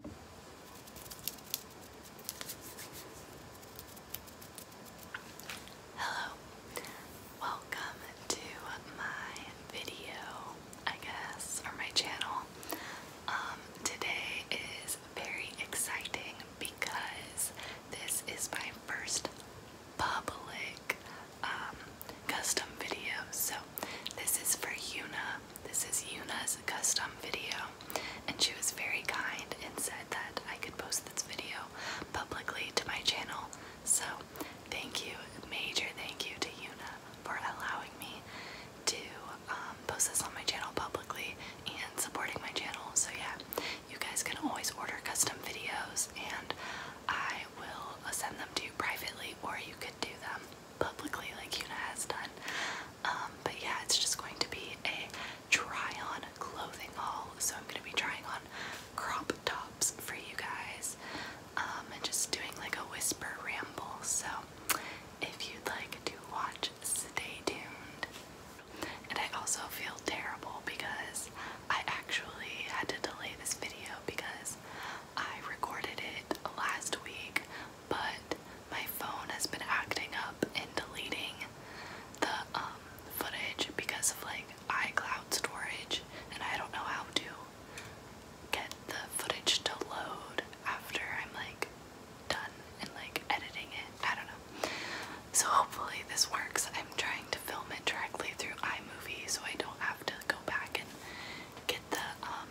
Hello, welcome to my video, I guess, or my channel. Um, today is very exciting because this is my first public um, custom video. So, this is for Yuna. This is Yuna's custom video, and she was very kind and said that I could post this video publicly to my channel. So, thank you, major thank you to Yuna for allowing me to um, post this on my channel publicly and supporting my channel. So, yeah, you guys can always order custom videos, and I will send them to you privately, or you could do them publicly like Yuna has done. Um, but yeah, it's just going to be a try on clothing haul. So I'm going to be trying on crop tops for you guys um, and just doing like a whisper ramble. So if you'd like to watch, stay tuned. And I also feel terrible because I actually had to delay this video because I recorded it last week but my phone has been acting up and deleting the um, footage because of like iCloud storage, and I don't know how to get the footage to load after I'm like done and like editing it. I don't know. So hopefully this works. I'm trying to film it directly through iMovie so I don't have to go back and get the um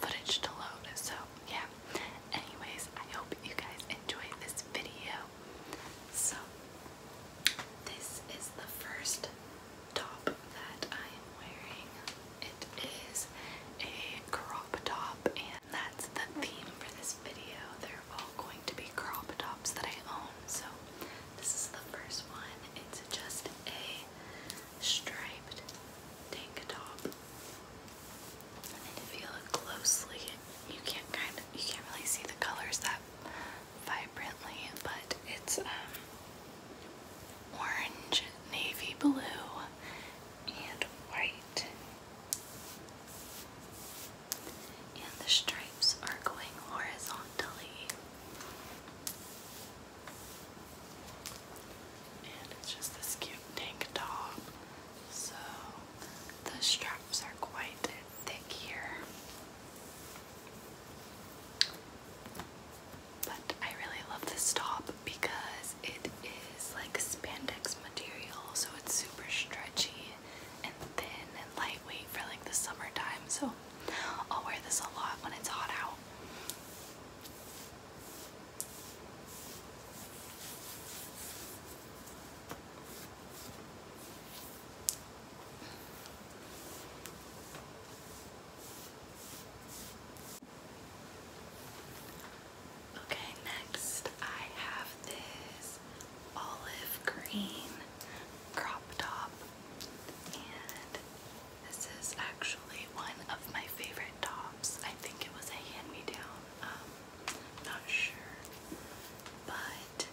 footage to load. So, yeah. Anyways, I hope you guys enjoyed this video. So, this is the first top that I am wearing. It is a crop top, and that's the theme for this video. They're all going to be crop tops that I own. So, this is the first one. It's just a striped tank top and if you look closely, you can't kind of you can't really see the colors that vibrantly, but it's um orange, navy blue, and white. And the stripes are going horizontally. And it's just this cute tank top. So the straps are quite thick here. But I really love this top because it is like spandex material, so it's super stretchy and thin and lightweight for like the summertime. So I'll wear this a lot when it's hot out. Okay, next I have this olive green crop top, this is actually one of my favorite tops. I think it was a hand-me-down. Um, not sure, but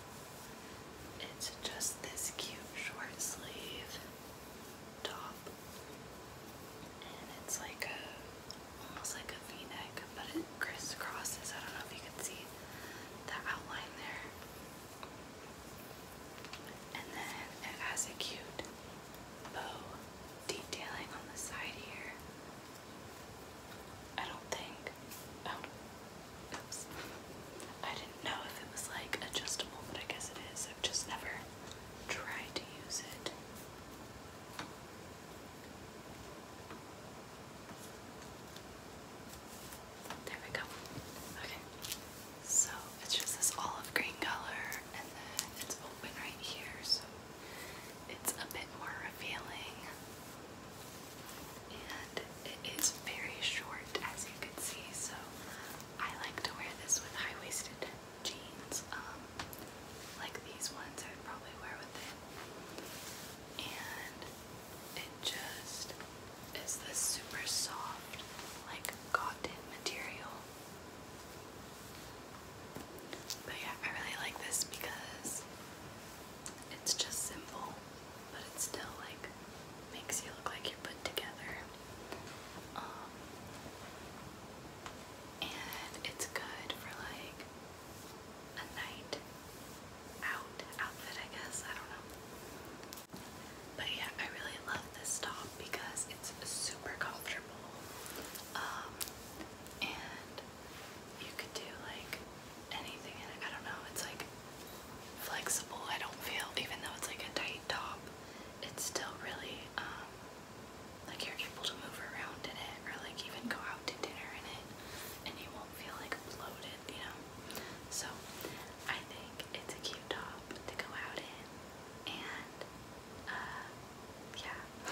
it's just this cute short sleeve top, and it's like a almost like a V-neck, but it crisscrosses. I don't know if you can see the outline there. And then it has a cute bow detailing on the side here. I don't think. Oh, I didn't know if it was like adjustable, but I guess it is. I've just never tried to use it. There we go. Okay, so it's just this olive green color and then it's open right here so it's a bit more revealing and it is very short as you can see so I like to wear this with high-waisted jeans um, like these ones I'd probably wear with it and it just is this super soft like cotton material but yeah, I really like this because it's just simple, but it still like makes you look like you're put together. Um, and it's good for like a night out outfit, I guess. I don't know. But yeah, I really love this top because it's super comfortable. Um, and you could do like anything in it. I don't know, it's like flexible. I don't feel, even though it's like a tight top, it's still really, um, like you're able to move around in it or like even go out to dinner in it and you won't feel like bloated, you know? So I think it's a cute top to go out in and uh, yeah.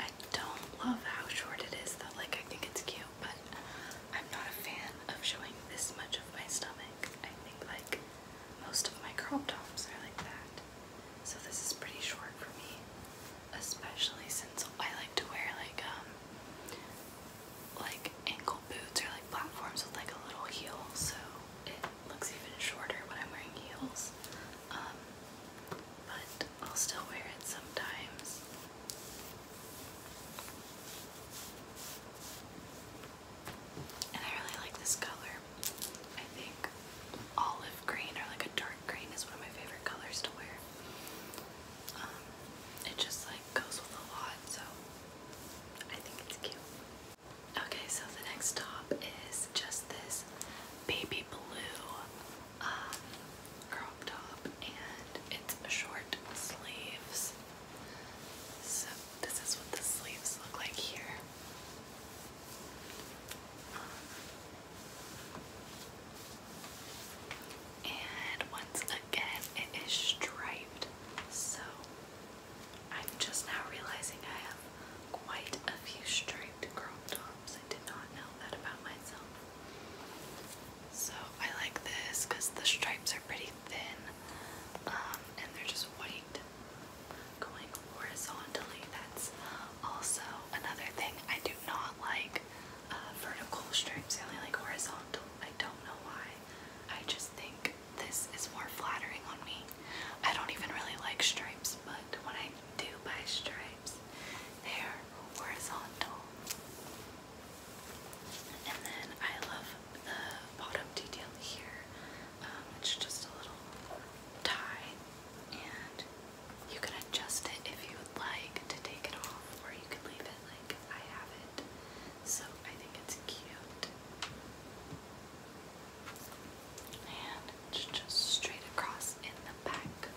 I don't love how short it is though, like I think it's cute, but I'm not a fan of showing this much of my stomach. I think like most of my crop tops are like that. So this is pretty short for me especially since I like to wear like um like ankle boots or like platforms with like a little heel so it looks even shorter when I'm wearing heels um but I'll still wear it sometimes and I really like this color I think olive green or like a dark green is one of my favorite colors to wear. Um, it just like goes with a lot, so I think it's cute. Okay, so the next top is just this baby blue um, crop top, and it's short sleeves. So this is what the sleeves look like here. Um, and once again, it is striped. So I'm just now realizing I have quite a few striped crop tops. I did not know that about myself. So I like this because the stripes are pretty thin um, and they're just white horizontally. That's also another thing I do not like uh, vertical stripes. I only like horizontal. I don't know why. I just think this is more flattering on me. I don't even really like stripes, but when I do buy stripes, they are horizontal. And then I love the bottom detail here. Um, it's just a little tie, and you can adjust it if you would like to take it off, or you can leave it like I have it. So I think it's cute. And just straight across in the back.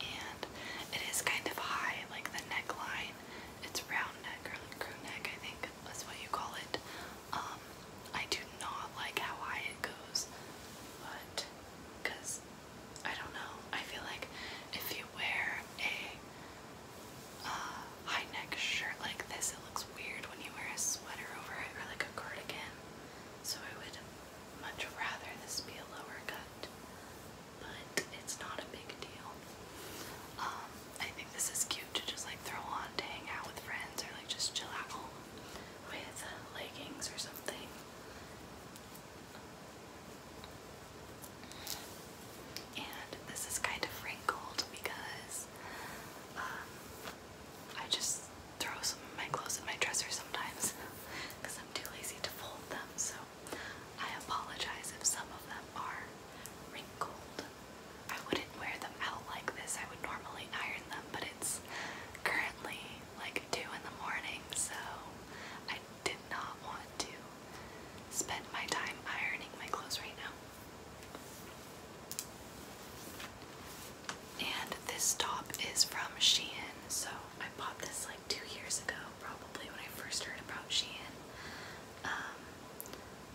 And it is kind of high, like the neckline. It's round neck crew neck, I think that's what you call it. Um, I do not like how high it goes, but because I don't know, I feel like if you wear a uh, high neck shirt like this, it looks weird when you wear a sweater over it or like a cardigan. So I would much rather this be a lower cut, but it's not a big deal. Um, I think this is cute to just like throw on to hang out with friends or like just chill at home with leggings or something. And this is kind of wrinkled because um, I just throw some of my clothes in my dresser sometimes because I'm too lazy to fold them. So I apologize if some of them are wrinkled. I wouldn't wear them out like this, I would normally iron them, but it's currently like 2 in the morning, so I did not want to spend my time ironing my clothes right now. And this top is from Shein, so I bought this like two years ago, probably when I first heard about Shein. Um,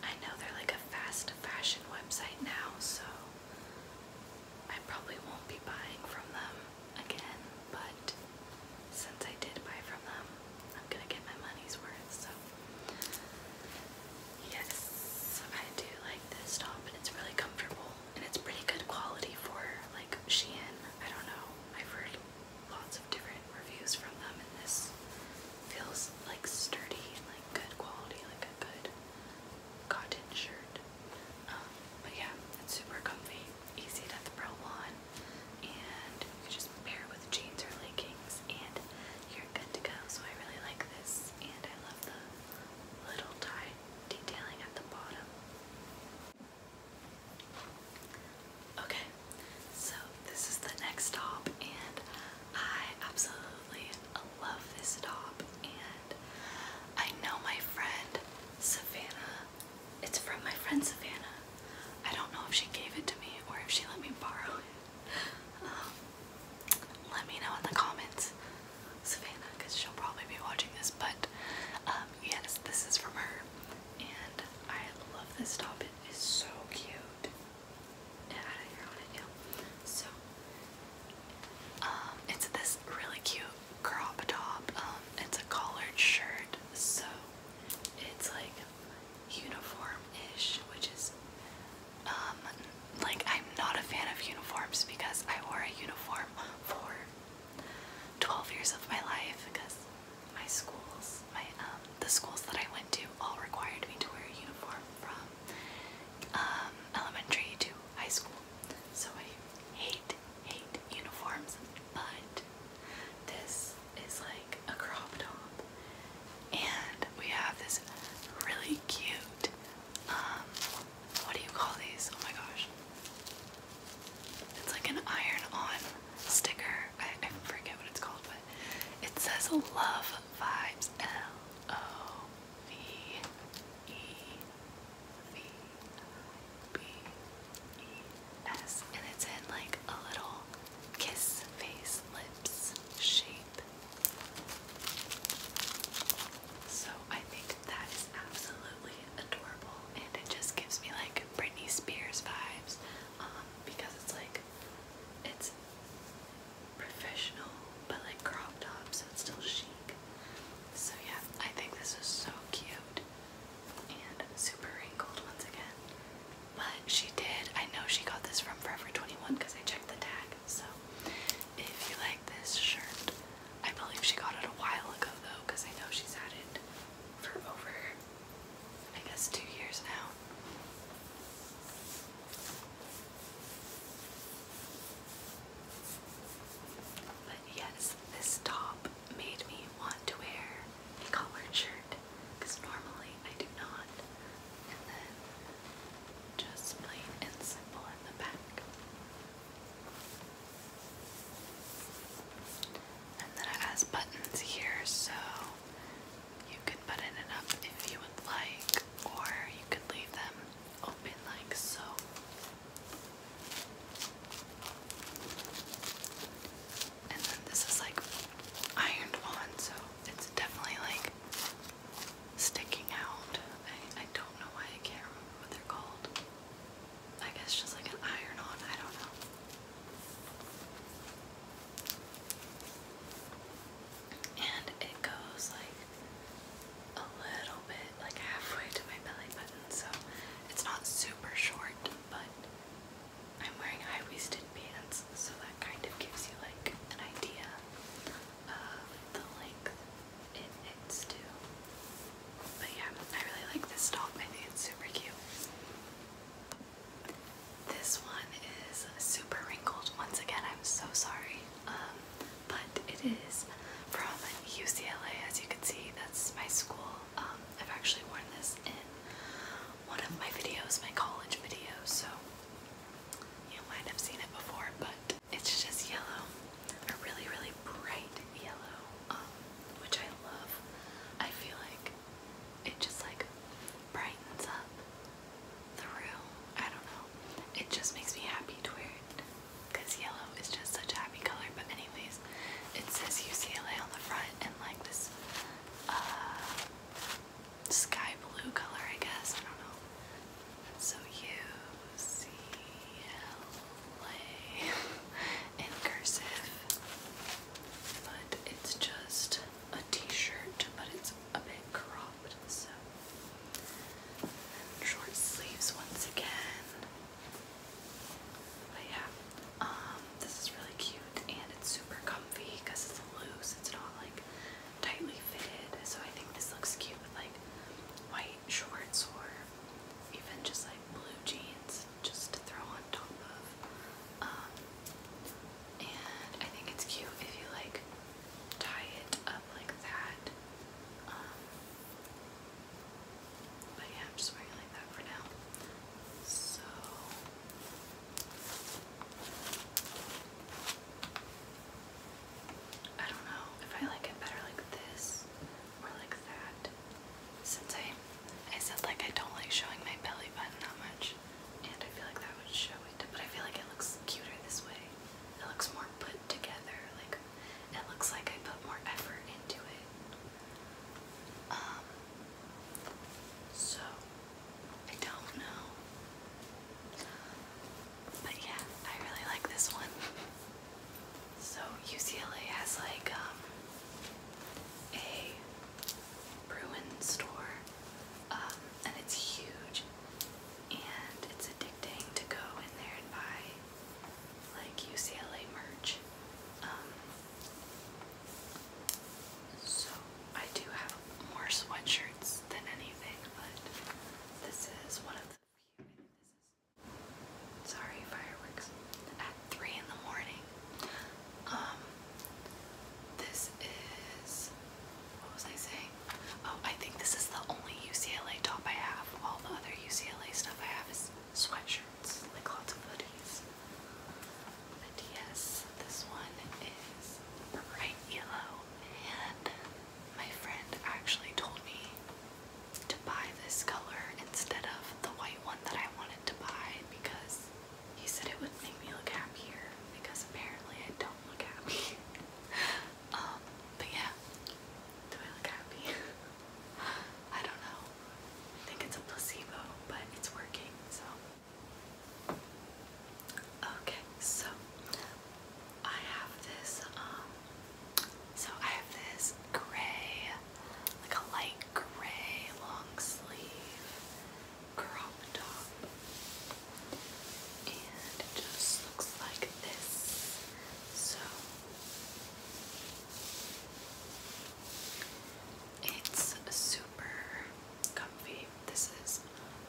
I know they're like a fast fashion website now, so I probably won't be buying from them again, but since I did buy from them, I'm gonna get my money's worth, so. Yes, I do like this top, and it's really comfortable, and it's pretty good quality for, like, Shein. I don't know, I've heard lots of different reviews from them, and this feels, like, sturdy like, good quality, like a good cotton shirt. Um, but yeah, it's super comfy, easy to throw on, and you just pair it with jeans or leggings, and you're good to go. So I really like this, and I love the little tie detailing at the bottom. Okay, so this is the next stop, and I absolutely I love this top, and I know my friend Savannah. It's from my friend Savannah. I don't know if she gave it to me or if she let me borrow it. Um, let me know in the comments, Savannah, because she'll probably be watching this. But um, yes, this is from her, and I love this top. It is so cute. So um, it's this really cute crop top. Um, it's a collared shirt, so it's like uniform-ish, which is um, like I'm not a fan of uniforms because I wore a uniform for 12 years of my life because my schools, my the schools that I went to all required me to wear a uniform from elementary to high school. So I hate, hate uniforms, but this is like a crop top. And we have this really cute, um, what do you call these? Oh my gosh. It's like an iron on sticker. I, I forget what it's called, but it says Love Vibes L O V E V I B E S, and it's in like a little kiss face lips shape. So I think that is absolutely adorable, and it just gives me like Britney Spears vibes um, because it's like it's professional, but like crop top, so it's still chic. So yeah, I think this is so cute and super wrinkled once again. But she did, I know she got this from Forever 21 because I checked the tag. So if you like this shirt, I believe she got it a while ago though because I know she's had it for over, I guess, two years now. But yes, this top made me want to wear a collared shirt because normally I do not. And then just plain and simple in the back. And then it has buttons here so you can button it up if you would like, or you could leave them open like so. And then this is like ironed on, so it's definitely like sticking out. I, I don't know why I can't remember what they're called. I guess just like an iron on, I don't know and it goes like a little bit like halfway to my belly button so it's not super short but I'm wearing high-waisted pants so that kind of gives you like an idea of the length it hits to but yeah I really like this top I think it's super cute this one is super wrinkled once again I'm so sorry um, but it is from UCLA. As you can see, that's my school. Um, I've actually worn this in one of my videos, my college videos, so you might have seen it before, but it's just yellow, a really, really bright yellow, um, which I love. I feel like it just like brightens up through. I don't know. It just makes me happy to wear it because yellow is just such a happy color. But anyways, it says UCLA on the front and like this uh, sky blue color, I guess. I don't know. So UCLA in cursive, but it's just a t-shirt, but it's a bit cropped short sleeves once again. But yeah, um, this is really cute and it's super comfy because it's loose. It's not like tightly fitted, so I think this looks cute with like white shorts or even just like blue jeans just to throw on top of. Um, and I think it's cute if you like tie it up like that. Um, but yeah, I'm just wearing it like that for now. So. I don't know if I like it better like this or like that. Since I I said like I don't like showing my belly button that much and I feel like that would show it, but I feel like it looks cuter this way. It looks more put together. Like it looks like I put more effort into it. Um, so I don't know. But yeah, I really like this one. So UCLA has like um, a Bruin store, um, and it's huge and it's addicting to go in there and buy like UCLA merch. Um, so I do have more sweatshirts than anything, but this is one of the few. This is sorry fireworks at three in the morning. Um, this is what was I saying? Oh, I think this is the only UCLA top I have. All the other UCLA stuff I have is sweatshirts, like lots of hoodies. But yes, this one is bright yellow, and my friend actually told me to buy this color instead of the white one that I wanted to buy because he said it would make me look happier because apparently I don't look happy. Um, but yeah, do I look happy? I don't know. I think it's a placebo, but it's working, so. Okay, so I have this, um, so I have this gray, like a light gray long sleeve crop top and it just looks like this. So it's super comfy. This is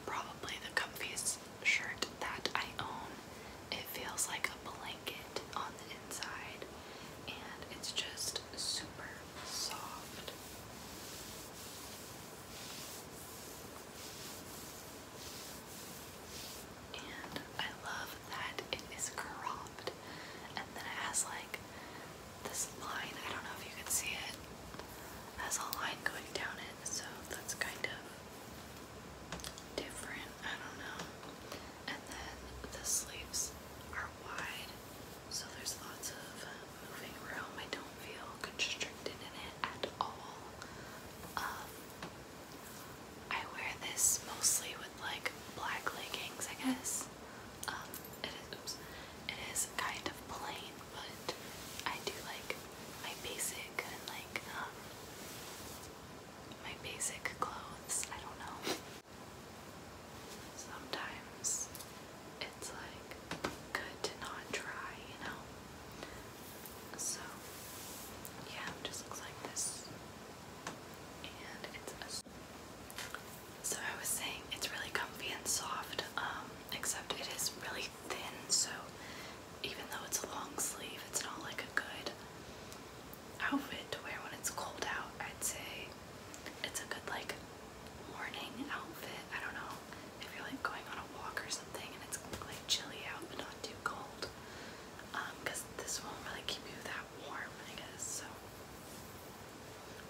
probably the comfiest shirt that I own. It feels like a blanket on the inside, and it's just super soft. And I love that it is cropped. And then it has like this line, I don't know if you can see it. has a line going down it, so that's kind of different, I don't know. And then the sleeves are wide, so there's lots of moving room. I don't feel constricted in it at all. Um, I wear this mostly with like black leggings, I guess. Um, it is, kind of plain, but I do like my basic and like um, my basic clothes. I don't know. Sometimes it's like good to not try, you know. So, yeah, just looks like this. And it's a. So, I was saying it's really comfy and soft, um, except it is really thin, so even though it's a long sleeve, it's not like a good outfit to wear when it's cold out. I'd say it's a good, like, morning outfit. I don't know if you're like going on a walk or something and it's like chilly out but not too cold. Because um, this won't really keep you that warm, I guess. So,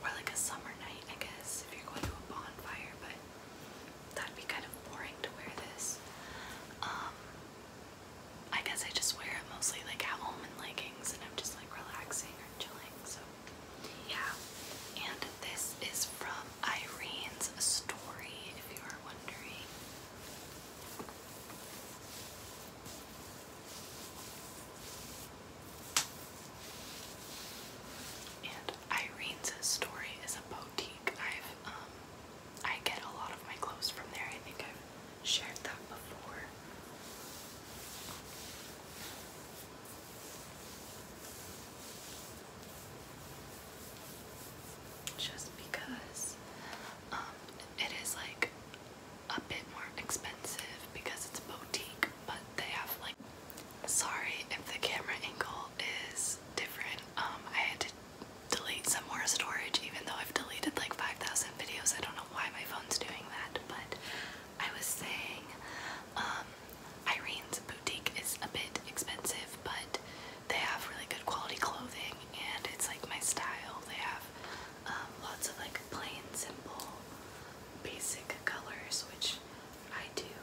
or like a summer night, I guess, if you're going to a bonfire. But that'd be kind of boring to wear this. Um, I guess I just wear it mostly like at home in leggings, and I'm just like relaxing or chilling. So, yeah. And this is from Irene's story. If you are and Irene's story is a boutique. Um, I get a lot of my clothes from there. I think I've shared that before just because um, it is like a bit more expensive because it's boutique, but they have like. Sorry if the camera angle is different. Um, I had to delete some more storage, even though I've deleted like 5,000 videos. I don't know why my phone's doing that, but I was saying um, Irene's boutique is a bit expensive, but they have really good quality clothing and it's like my style. They have um, lots of like plain, simple, basic colors, which I do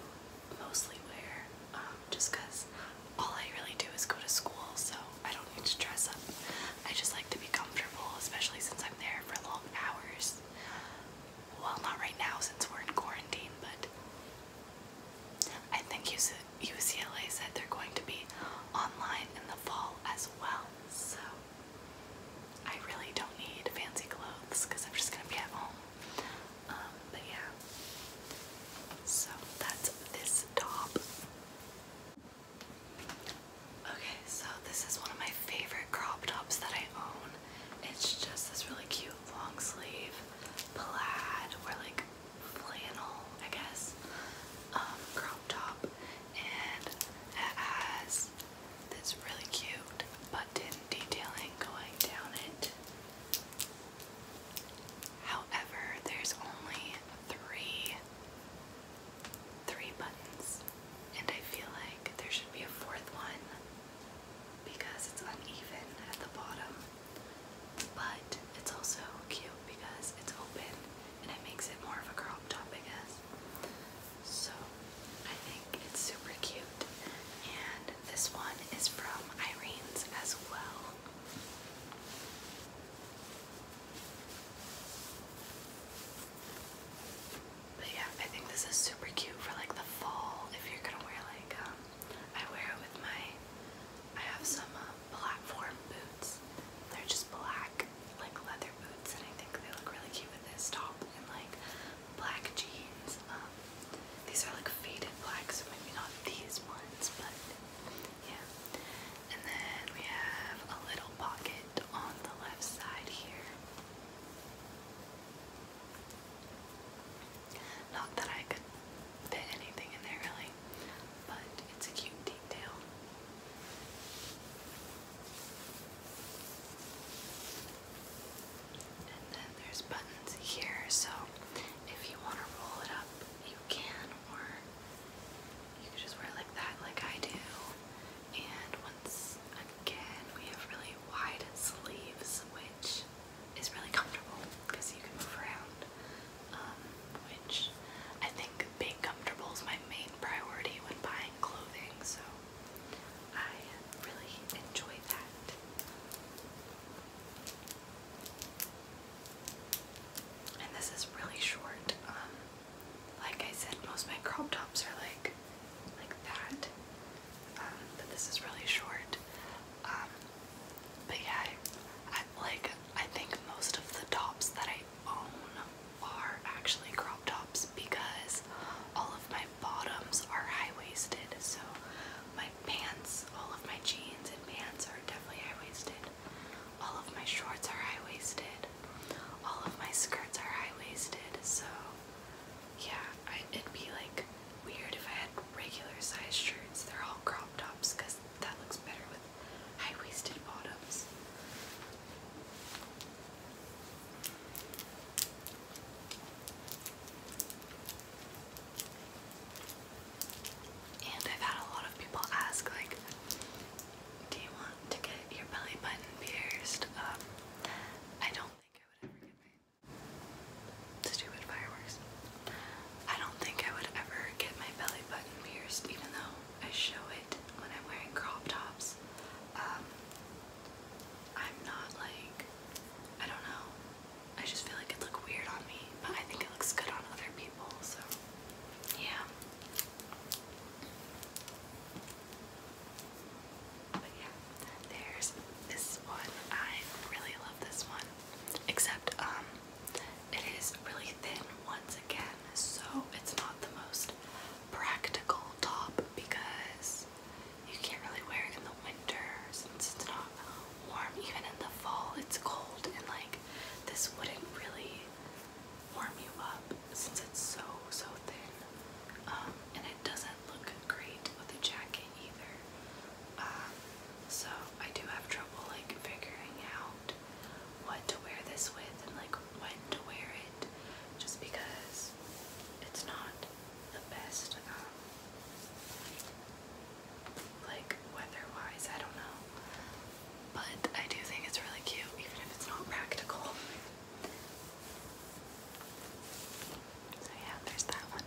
mostly wear um, just because all I really do is go to school, so I don't need to dress up. I just like to be comfortable, especially since I'm there for long hours. Well, not right now since we're in quarantine, but I think UCLA said they're going to be online in the fall as well, so I really don't need fancy clothes because I'm just going to be at home. Um, but yeah, so that's this top. Okay, so this is one of my favorite crop tops that I own. It's just this really cute long sleeve plaid or like flannel, I guess, um, crop top, and it has this really cute button detailing going down it. However, there's only three three buttons and I feel like there should be a fourth one because it's uneven at the bottom but it's also cute because it's open and it makes it more of a crop top, I guess. So I think it's super cute. And this one is from Irene's as well. But yeah, I think this is super cute for like the fall if you're gonna wear like um, I wear it with my, I have some platform uh, boots. They're just black, like leather boots, and I think they look really cute with this top and like black jeans. Um, these are like faded black, so maybe not these ones, but yeah. And then we have a little pocket on the left side here. Not that I could fit anything in there really, but it's a cute detail. And then there's buttons here, so if you want to roll it up, you can, or you can just wear it like that, like I do. And once again, we have really wide sleeves, which is really comfortable because you can move around, um, which I think being comfortable is my main priority when buying clothing, so I really enjoy that. And this is really short. Um, like I said, most my crop tops are like like that, um, but this is really short. But yeah, like I think most of the tops that I own are actually crop tops because all of my bottoms are high-waisted. So my pants, all of my jeans and pants are definitely high-waisted. All of my shorts are high-waisted. All of my skirts are high-waisted. So yeah, it'd be like weird if I had regular sized shirts. They're all crop tops because that looks better with high waisted bottoms. And I've had a lot of people ask, like, do you want to get your belly button pierced? Um, I don't think I would ever get Stupid fireworks. I don't think I would ever get my belly button pierced, even though I show it when I'm wearing crop tops. Um, I'm not like, I don't know. I just feel like it'd weird on me, but I think it looks good on other people, so yeah. But yeah, there's this one. I really love this one except um it is really thin once again so it's not the most practical top because you can't really wear it in the winter since it's not warm even in the fall it's cold and like this wouldn't really warm you up since it's so so thin um and it doesn't look great with a jacket either. Um, so I do have trouble like figuring out what to wear this with and like when to wear it just because it's not the best um, like weather wise, I don't know. But I do think it's really cute, even if it's not practical. So, yeah, there's that one.